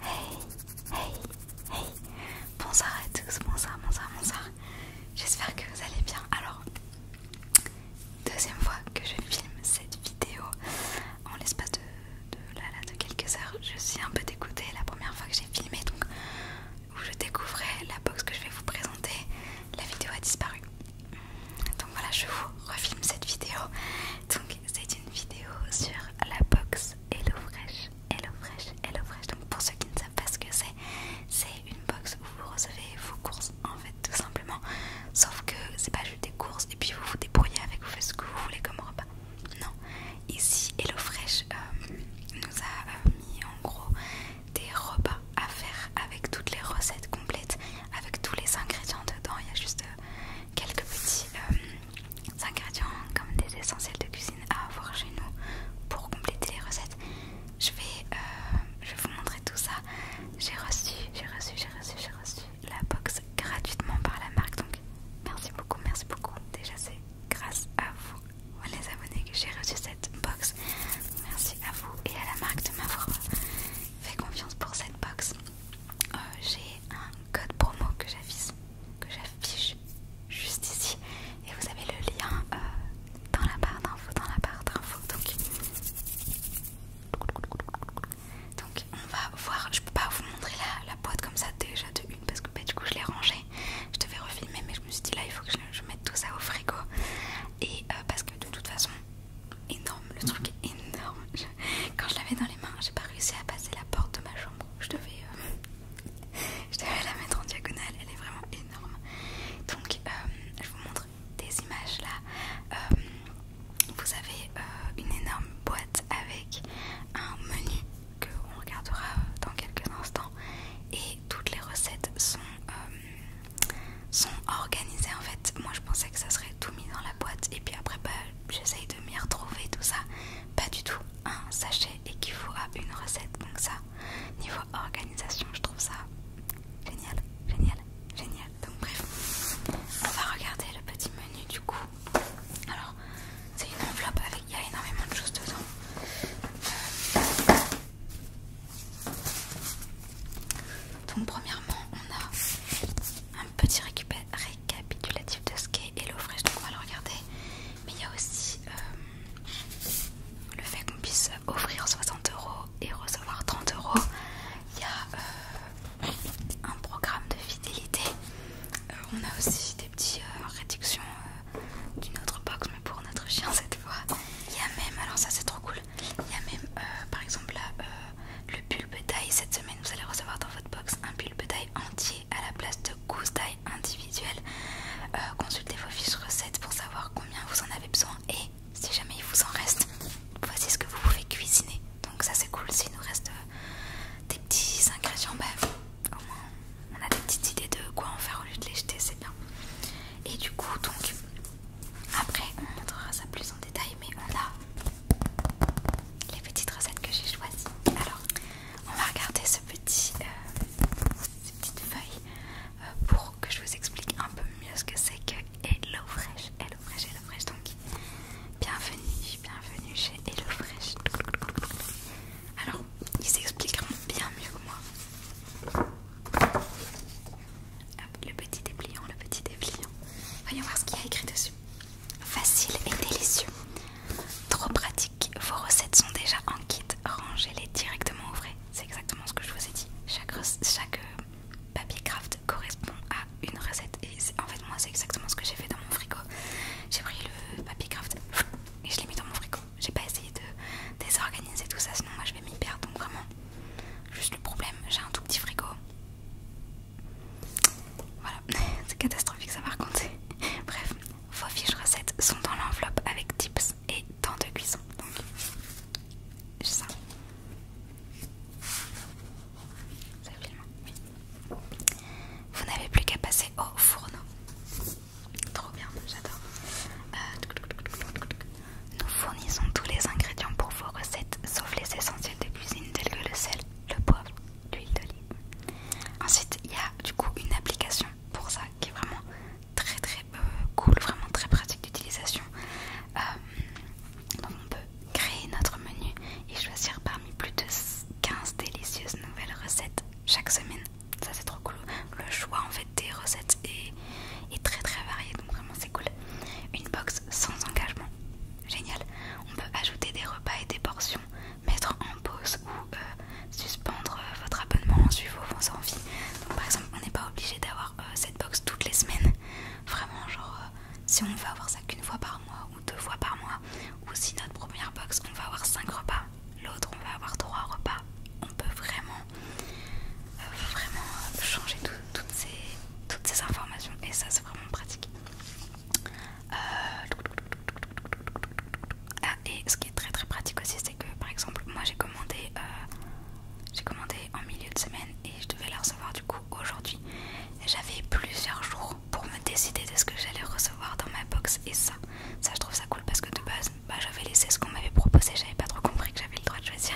Hey, hey, hey, bonsoir à tous, bonsoir, bonsoir, bonsoir. J'espère que vous allez bien. Alors, deuxième fois que je filme cette vidéo en l'espace de, quelques heures. Je suis un peu dégoûtée. La première fois que j'ai filmé, donc où je découvrais la box que je vais vous présenter, la vidéo a disparu. Donc voilà, je vous refilme cette vidéo. Donc c'est une vidéo sur la box HelloFresh. HelloFresh, HelloFresh. Donc pour ceux qui ne savent pas ce que c'est, c'est une box où vous recevez vos courses en fait tout simplement. Sauf que c'est pas juste des courses et puis vous vous débrouillez avec, vous faites ce que vous voulez comme repas. Non, ici HelloFresh euh, nous a euh, mis en gros des repas à faire avec toutes les recettes complètes, avec tous les ingrédients dedans. Il y a juste euh, quelques petits ingrédients comme des essentiels de cuisine à avoir chez nous pour compléter les recettes. Je vais, euh, je vous montrer tout ça. J'ai reçu, j'ai reçu, j'ai reçu, j'ai reçu la box gratuitement par la marque. Donc merci beaucoup, merci beaucoup. Déjà c'est grâce à vous, les abonnés, que j'ai reçu cette box. Merci à vous et à la marque de m'avoir fait confiance pour cette box. Euh, j'ai un code promo que j'affiche, que j'affiche juste ici et vous avez le lien euh, dans la barre d'infos, dans la barre d'infos. Donc, donc on va voir, je peux pas vous montrer la, boîte comme ça déjà de une parce que bah, du coup je l'ai rangée, je devais refilmer mais je me suis dit là il faut que je, mette tout ça au frigo et euh, parce que de toute façon énorme, le truc énorme, quand je l'avais dans les mains, j'ai pas réussi à passer la porte de ma chambre. Je devais, euh, la mettre en diagonale, elle est vraiment énorme. Donc, euh, je vous montre des images là. Euh, vous avez une énorme boîte avec un menu que on regardera dans quelques instants et toutes les recettes sont sont organisées en fait moi je pensais que ça serait tout mis dans la boîte et puis après bah, j'essaye de de retrouver, tout ça. Pas du tout. Un sachet qu'il à une recette. Donc ça, niveau organisation, je trouve ça génial, génial, génial. Donc bref, on va regarder le petit menu du coup. Alors, c'est une enveloppe avec, il y a énormément de choses dedans. Euh, donc premièrement, on a un petit récapitulatif de ce qu'est HelloFresh, donc on va le regarder. Mais il y a aussi euh, le fait qu'on puisse offrir 60 euros et recevoir 30 euros. Il y a euh, un programme de fidélité. Euh, on a aussi des petites réductions d'une autre box, mais pour notre chien cette fois. Il y a même, alors ça c'est trop cool, il y a même par exemple là, le bulbe d'ail. Cette semaine, vous allez recevoir dans votre box un bulbe d'ail entier à la place de gousses d'ail individuelles. Euh, consultez vos fiches recettes pour savoir combien vous en avez besoin et si jamais il vous en reste, voici ce que vous pouvez cuisiner. Donc ça c'est cool, s'il nous reste euh, des petits ingrédients, bah, au moins on a des petites idées de quoi en faire au lieu de les jeter, c'est bien. Et du coup, donc après on montrera ça plus en détail, mais on a les petites recettes que j'ai choisies. Alors, on va regarder ce petit, euh, feuille euh, pour que je vous explique un peu mieux ce que c'est que HelloFresh. HelloFresh, HelloFresh, donc bienvenue, bienvenue chez HelloFresh. Alors, ils s'expliqueront bien mieux que moi. le petit dépliant, le petit dépliant. Voyons voir ce qu'il y a écrit dessus. Facile et délicieux. Trop pratique. Vos recettes sont déjà en kit. Rangez-les directement au frais. C'est exactement ce que je vous ai dit. Chaque, chaque euh, papier craft correspond à une recette. Et en fait, moi, c'est exactement ce que j'ai fait dans mon frigo. J'ai pris le papier craft et je l'ai mis dans mon frigo. J'ai pas essayé de désorganiser tout ça, sinon moi je vais m'y perdre. Donc vraiment, juste le problème, j'ai un tout petit frigo. Voilà, c'est catastrophique ça m'a raconté, Bref, vos fiches recettes sont dans l'enveloppe avec tips et temps de cuisson. Donc, ça. Ça Vous n'avez plus qu'à passer au fourneau. Trop bien, j'adore. Euh, nous fournissons tous les ingrédients pour vos recettes, sauf les essentiels de cuisine tels que le sel, le poivre, l'huile d'olive. Ensuite, il y a du coup une application pour ça qui est vraiment très très euh, cool, vraiment très pratique d'utilisation. Euh, donc on peut créer notre menu et choisir parmi plus de 15 délicieuses nouvelles recettes chaque semaine. Ça c'est trop cool. Le choix en fait des recettes est, est très très varié, donc vraiment c'est cool. Une box sans engagement, génial. On peut ajouter des repas et des portions mettre en pause ou euh, suspendre euh, votre abonnement en suivant vos envies. Donc par exemple, on n'est pas obligé d'avoir euh, cette box toutes les semaines. Vraiment, genre, si on veut avoir ça qu'une fois par mois ou deux fois par mois, ou si notre première box, on va avoir 5 repas, l'autre, on va avoir trois repas, on peut vraiment, vraiment changer toutes, toutes ces informations et ça, c'est vraiment pratique. Euh, ah, et ce qui est très très pratique aussi, c'est que par exemple, moi j'ai commandé, euh, j'ai commandé en milieu de semaine et je devais la recevoir du coup aujourd'hui. J'avais plusieurs jours pour me décider de ce que j'allais recevoir dans ma box et ça, ça je trouve ça cool parce que de base, bah, j'avais laissé ce qu'on m'avait proposé, j'avais pas trop compris que j'avais le droit de choisir.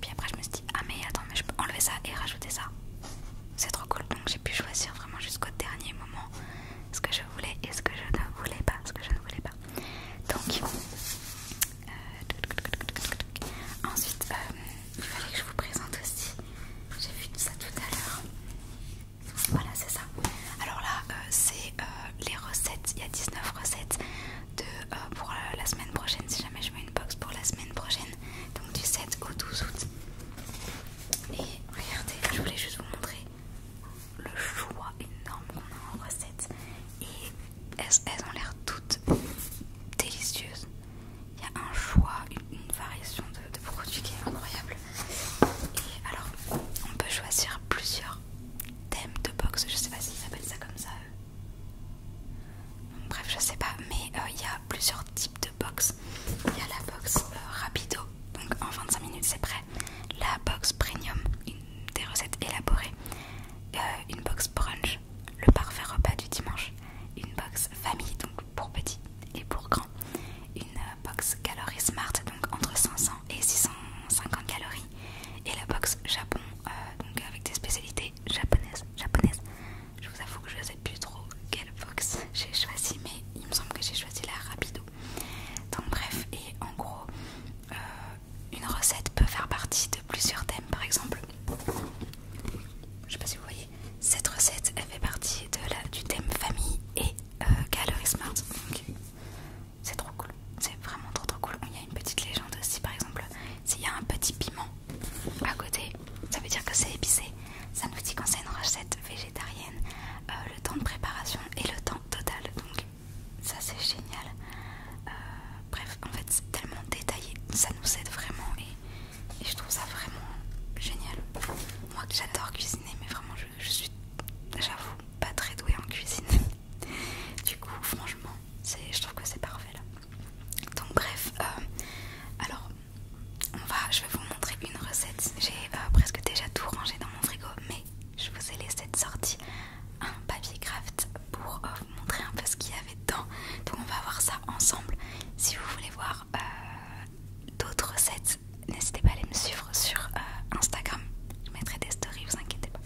Puis après je me suis dit ah mais attends mais je peux enlever ça et rajouter ça c'est trop cool donc j'ai pu choisir vraiment jusqu'au dernier moment ce que je voulais et ce que je ne voulais pas ce que je ne voulais pas donc euh, ensuite euh, il fallait que je vous présente aussi j'ai vu ça tout à l'heure voilà c'est ça alors là euh, c'est les recettes il y a 19 recettes de, pour la, la semaine prochaine si jamais je mets une box pour la semaine prochaine donc du 7 au 12 août et regardez, je voulais juste vous montrer le choix énorme qu'on a en recettes. Et elles, ont l'air toutes délicieuses. Il y a un choix, une, variation de, produits qui est incroyable. Et alors, on peut choisir plusieurs thèmes de box. Je sais pas s'ils appellent ça comme ça. Bref, je sais pas, mais euh, il y a plusieurs types de box il y a la box euh, Rapido, donc en 25 minutes c'est prêt. La box Premium, une, des recettes élaborées. Euh, une box Brunch, le parfait repas du dimanche. Une box Famille, donc pour petit et pour grand Une euh, box Calorie Smart, donc entre 500 et 650 calories. Et la box Japon, donc avec des spécialités japonaises, japonaises je vous avoue que je ne sais plus trop quelle box j'ai choisi, mais il me semble que j'ai choisi la Rapido. Donc, bref, et en gros, euh, une recette peut faire partie de plusieurs thèmes. Par exemple, je sais pas si vous voyez, cette recette elle fait partie de la, du thème famille et euh, calorie smart. C'est trop cool, c'est vraiment trop trop cool. Il y a une petite légende aussi, par exemple, s'il y a un petit piment à côté, ça veut dire que c'est épicé. Ça nous dit quand c'est une recette végétarienne. Euh, le temps de préparation et le temps total. Donc ça c'est génial. Euh, bref, en fait c'est tellement détaillé. Ça nous aide vraiment et, je trouve ça vraiment génial. Moi j'adore cuisiner mais vraiment je, suis, j'avoue, pas très douée en cuisine. du coup franchement je trouve que c'est parfait là. Donc bref, euh, alors on va, je vais vous montrer une recette. J'ai euh, presque déjà tout rangé dans mon frigo, mais je vous ai laissé de sortie un papier craft pour euh, vous montrer un peu ce qu'il y avait dedans. Donc on va voir ça ensemble. Si vous voulez voir euh, d'autres recettes, n'hésitez pas à aller me suivre sur Instagram. Je mettrai des stories, vous inquiétez pas.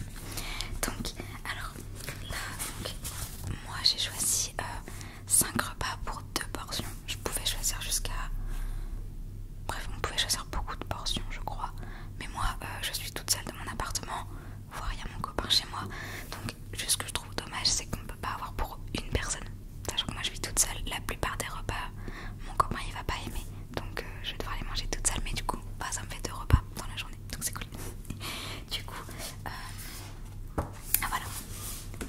Donc, alors moi j'ai choisi Cinq repas pour deux portions. Je pouvais choisir jusqu'à. Bref, on pouvait choisir beaucoup de portions, je crois. Mais moi, euh, je suis toute seule dans mon appartement, voire il y a mon copain chez moi. Donc, juste ce que je trouve dommage, c'est qu'on ne peut pas avoir pour une personne. Sachant que moi, je vis toute seule, la plupart des repas, mon copain il va pas aimer. Donc, euh, je vais devoir les manger toute seule. Mais du coup, bah, ça me fait deux repas dans la journée. Donc, c'est cool. du coup, euh, ah voilà,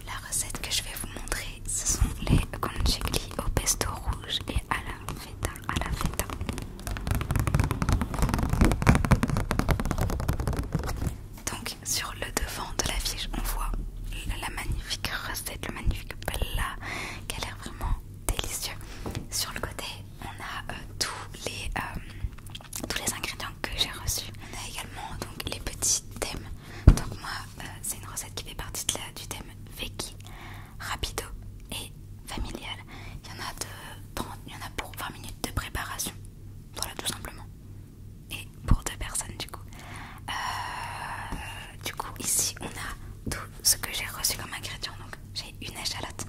la recette que je vais vous montrer, ce sont les conchiglie au pesto rouge et à la feta, à la feta. Donc sur le devant de la fiche on voit la magnifique recette, le magnifique plat qui a l'air vraiment délicieux. Sur le côté, on a euh, tous les euh, tous les ingrédients que j'ai reçus. On a également donc les petits thèmes donc moi, euh, c'est une recette qui fait partie de la, du thème Veggie, rapido et familial. Il y en a y en a pour 20 minutes de préparation. Voilà tout simplement. Et pour deux personnes du coup. Euh, du coup ici on a tout ce que j'ai reçu comme ingrédients. Donc j'ai une échalote,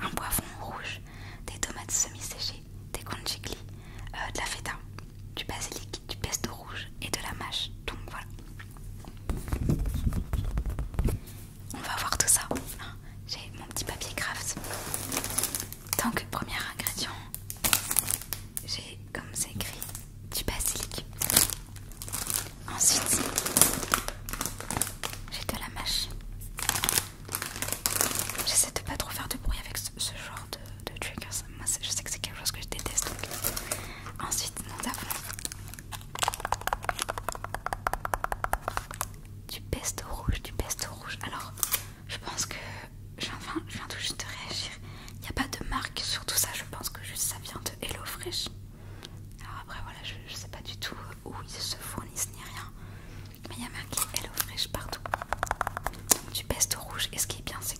un poivron rouge, des tomates semi-séchées des conchigli, euh, de la feta, du basilic, du pesto rouge et de la mâche. Donc voilà. On va voir tout ça. Hein. J'ai mon petit papier craft. Donc, premier ingrédient. J'ai comme c'est écrit du basilic. Ensuite, j'ai de la mâche. J'essaie de pas trop faire de bruit avec ce, ce genre de, triggers. Moi, je sais que c'est quelque chose que je déteste. Ensuite, nous avons du pesto rouge, du pesto rouge. Alors, je pense que je viens, tout juste de réagir. Il n'y a pas de marque sur tout ça. Je pense que juste ça vient de HelloFresh. Alors après, voilà, je, ne sais pas du tout où ils se fournissent ni rien. Mais il y a marqué HelloFresh partout. Donc, du pesto rouge. Et ce qui est bien, c'est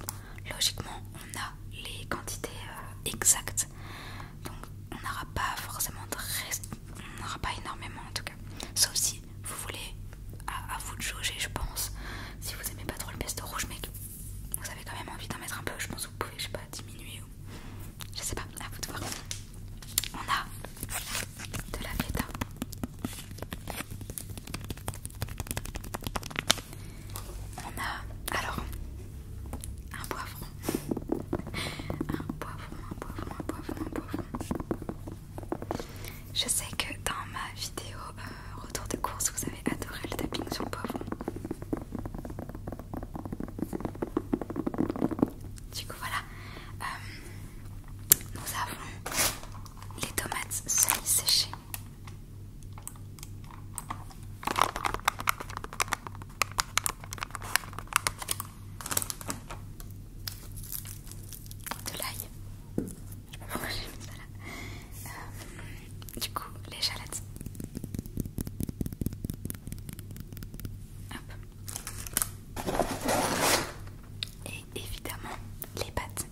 logiquement on a les quantités euh, exactes donc on n'aura pas forcément de reste on n'aura pas énormément en tout cas sauf si vous voulez à, vous de jauger je pense si vous aimez pas trop le pesto rouge mais vous avez quand même envie d'en mettre un peu je pense que vous pouvez je sais pas diminuer ou je sais pas à vous de voir on a de la feta on a alors un poivron, un poivron, un poivron, un poivron, un poivron. Je sais que dans ma vidéo euh, retour de course, vous avez adoré le tapping sur le poivron. Du coup, voilà. Euh, nous avons les tomates semi-séchées de l'ail. Je me pas j'ai mis ça là. Euh, du coup, les Hop. Et évidemment, les pâtes.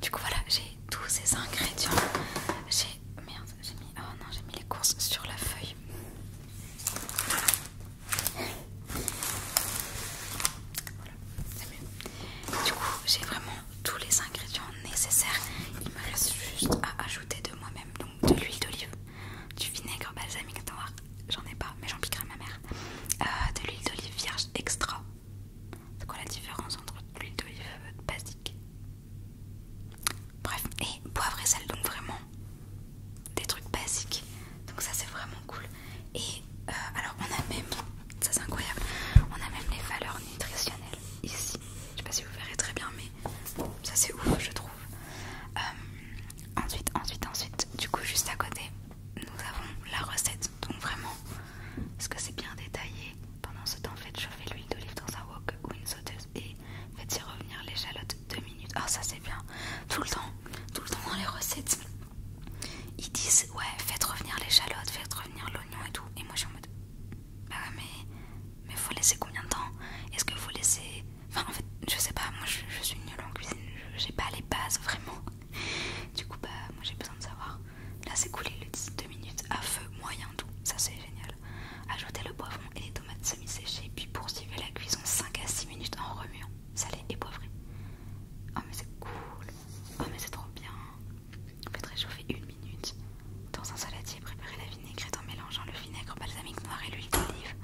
Du coup voilà, j'ai tous ces ingrédients. J'ai merde, j'ai mis oh non, j'ai mis les courses sur la feuille. Voilà, c'est mieux. Du coup, j'ai vraiment tous les ingrédients nécessaires. Il me reste juste à ajouter de moi-même de l'huile d'olive, du vinaigre balsamique, attends, j'en ai pas, mais j'en piquerai ma mère, euh, de l'huile d'olive vierge extra. C'est quoi la différence entre l'huile d'olive basique Bref, et poivre et sel, donc vraiment des trucs basiques. Donc ça c'est vraiment cool. Et euh, alors on a même, ça c'est incroyable, on a même les valeurs nutritionnelles ici. Je sais pas si vous verrez très bien, mais ça c'est ouf je trouve. Euh, ensuite, ensuite, ensuite, du coup juste à côté, nous avons la recette. Donc vraiment, est que c'est bien détaillé Pendant ce temps, faites chauffer l'huile d'olive dans un wok ou une sauteuse et faites y revenir l'échalote 2 minutes. oh, ça c'est bien. Tout le temps, tout le temps dans les recettes. Ils disent ouais faites revenir les l'échalote, faites revenir l'oignon et tout. Et moi je suis en mode bah mais. Mais faut laisser combien de temps Est-ce que vous laissez Enfin, en fait, je sais pas, moi je, suis nulle en cuisine, j'ai pas les bases vraiment. Du coup, bah, moi j'ai besoin de savoir. Là, c'est coulé le 2 minutes à feu moyen doux, ça c'est génial. Ajoutez le poivron et les tomates semi-séchées, puis poursuivez la cuisson 5 à 6 minutes en remuant, salé et poivré. Oh, mais c'est cool! Oh, mais c'est trop bien! peut réchauffer une minutes. Dans un saladier, préparer la vinaigrette en mélangeant le vinaigre balsamique noir et l'huile d'olive.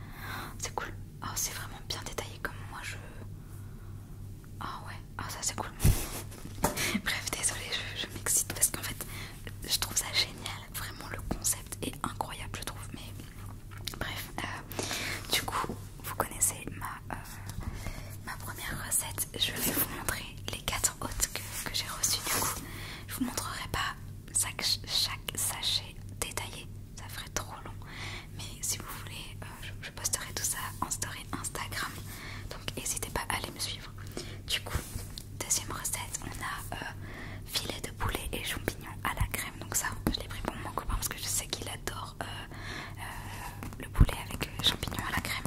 C'est cool. Oh, c'est vraiment bien détaillé comme moi je. oh, ouais, oh, ça c'est cool. Bref, désolée, je, m'excite parce qu'en fait, je trouve ça génial. Vraiment, le concept est incroyable, je trouve. Mais bref, euh, du coup, vous connaissez ma, euh, ma première recette. Je vais vous montrer les quatre autres que, que j'ai reçues. Du coup, je vous montrerai pas chaque, sachet détaillé. Ça ferait trop long. Mais si vous voulez, euh, je, posterai tout ça en story Instagram. Donc n'hésitez pas à aller me suivre. Du coup, deuxième recette, on a euh, filet de poulet et champignons à la crème. Donc ça, je l'ai pris pour mon copain parce que je sais qu'il adore euh, le poulet avec champignons à la crème.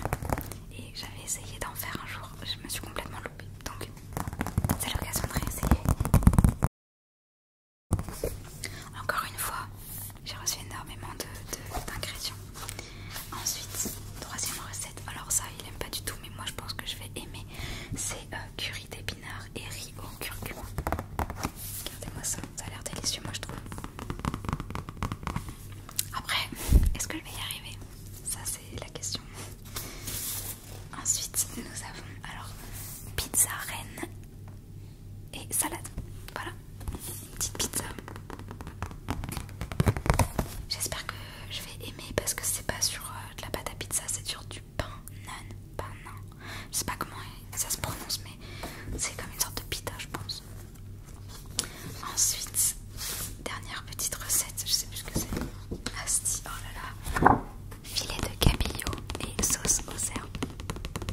Et j'avais essayé d'en faire un jour. Je me suis complètement donc, c'est l'occasion de réessayer. Encore une fois, j'ai reçu énormément d'ingrédients. De, Ensuite, troisième recette. Alors, ça, il aime pas du tout, mais moi je pense que je vais aimer. C'est euh, curry d'épinards et riz au curcuma. Regardez-moi ça, ça a l'air délicieux, moi je trouve. Après, est-ce que je vais y arriver Ça, c'est la question. Ensuite, nous avons alors pizza reine et salade. Voilà, petite pizza. J'espère que je vais aimer parce que c'est pas sur euh, de la pâte à pizza, c'est sur du pain nan, pain Je sais pas comment ça se prononce, mais c'est comme une sorte de pita, je pense. Ensuite, dernière petite recette, je sais plus ce que c'est. Asti, oh là là. Filet de cabillaud et sauce au cerf.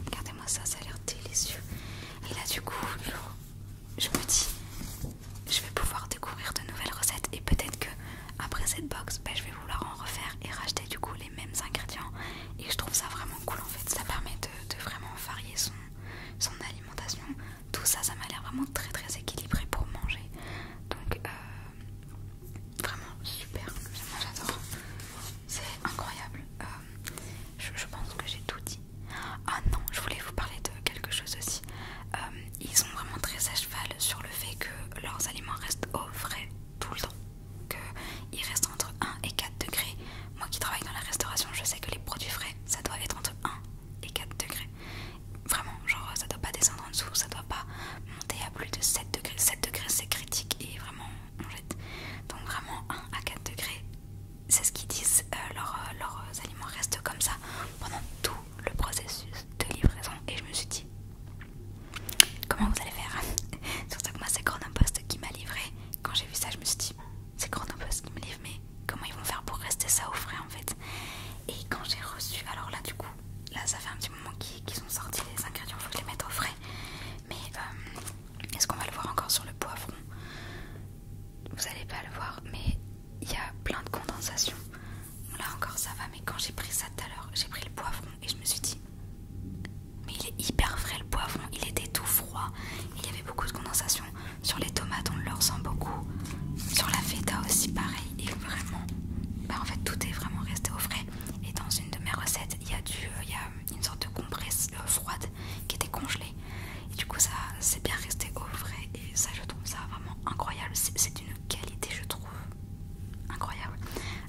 Regardez-moi ça, ça a l'air délicieux. Et là, du coup, je me dis, je vais pouvoir découvrir de nouvelles recettes et peut-être que après cette box, ben, je vais vouloir en refaire et racheter du coup les mêmes ingrédients. Et je trouve ça vraiment cool en fait. Ça permet de, vraiment varier son alimentation tout ça, ça m'a l'air vraiment très très équilibré pour manger. Donc euh, vraiment super, j'adore. C'est incroyable. Euh, je, pense que j'ai tout dit. Ah non, je voulais vous parler de quelque chose aussi. Euh, ils sont vraiment très à cheval sur le fait que leurs aliments restent au frais tout le temps. Qu'ils restent entre 1 et 4 degrés. Moi qui travaille dans la restauration, je sais que les produits frais, ça doit être entre 1 et 4 degrés. Vraiment, genre ça doit pas descendre en dessous, ça doit pas monter à plus de 7 degrés. 7 degrés c'est critique et vraiment on jette. Donc vraiment 1 à 4 degrés, c'est ce qu'ils disent, euh, leurs, euh, euh, aliments restent comme ça pendant tout le processus de livraison. Et je me suis dit, comment vous allez faire pour ça que moi c'est Chronopost qui m'a livré. Quand j'ai vu ça, je me suis dit, c'est Chronopost qui me livre, mais comment ils vont faire pour rester ça au frais en fait et quand j'ai reçu, alors là du coup, là ça fait un petit moment qu'ils sont sortis les ingrédients, faut que je les mette au frais. Mais euh, est-ce qu'on va le voir encore sur le poivron Vous allez pas le voir, mais il y a plein de condensation. Là encore ça va, mais quand j'ai pris ça tout à l'heure, j'ai pris le poivron et je me suis dit, mais il est hyper frais le poivron, il était tout froid, il y avait beaucoup de condensation. Sur les tomates on le ressent beaucoup, sur la feta aussi pareil et vraiment, bah en fait tout est vraiment resté au frais. Et dans une de mes recettes, il y a euh, il une sorte de compresse euh, froide qui était congelée. Et du coup ça, s'est bien resté au frais et ça je trouve ça vraiment incroyable. C'est d'une qualité je trouve incroyable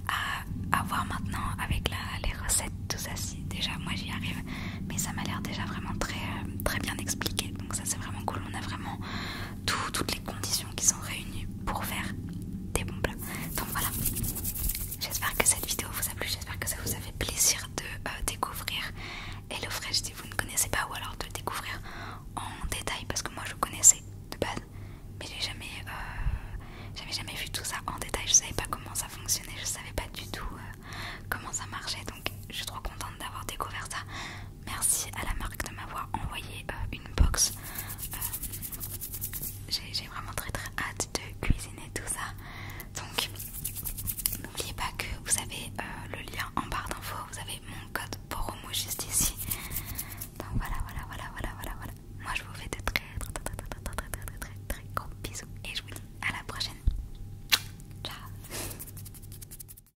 à, avoir voir maintenant avec les recettes tout ça. Si déjà moi j'y arrive, mais ça m'a l'air déjà vraiment très euh, très bien expliqué. Donc ça c'est vraiment cool. On a vraiment tout, toutes conditions qui sont réunies pour faire des bons plats. Donc voilà, j'espère que cette vidéo vous a plu, j'espère que ça vous a fait plaisir de euh, découvrir HelloFresh si vous ne connaissez pas ou alors de le découvrir en détail parce que moi je connaissais de base mais j'ai jamais, euh, j'avais jamais vu tout ça en détail, je savais pas comment ça fonctionnait, je savais pas du tout euh, comment ça marchait donc je suis trop contente d'avoir découvert ça. Merci à la marque de m'avoir envoyé euh, une box. Euh, j'ai vraiment très très hâte de cuisiner tout ça. Donc n'oubliez pas que vous avez euh, le lien en barre d'infos, vous avez mon code Poromo juste ici. Donc voilà, voilà, voilà, voilà, voilà, voilà. Moi je vous fais de très très très très très très très très, très gros bisous et je vous dis à la prochaine. Ciao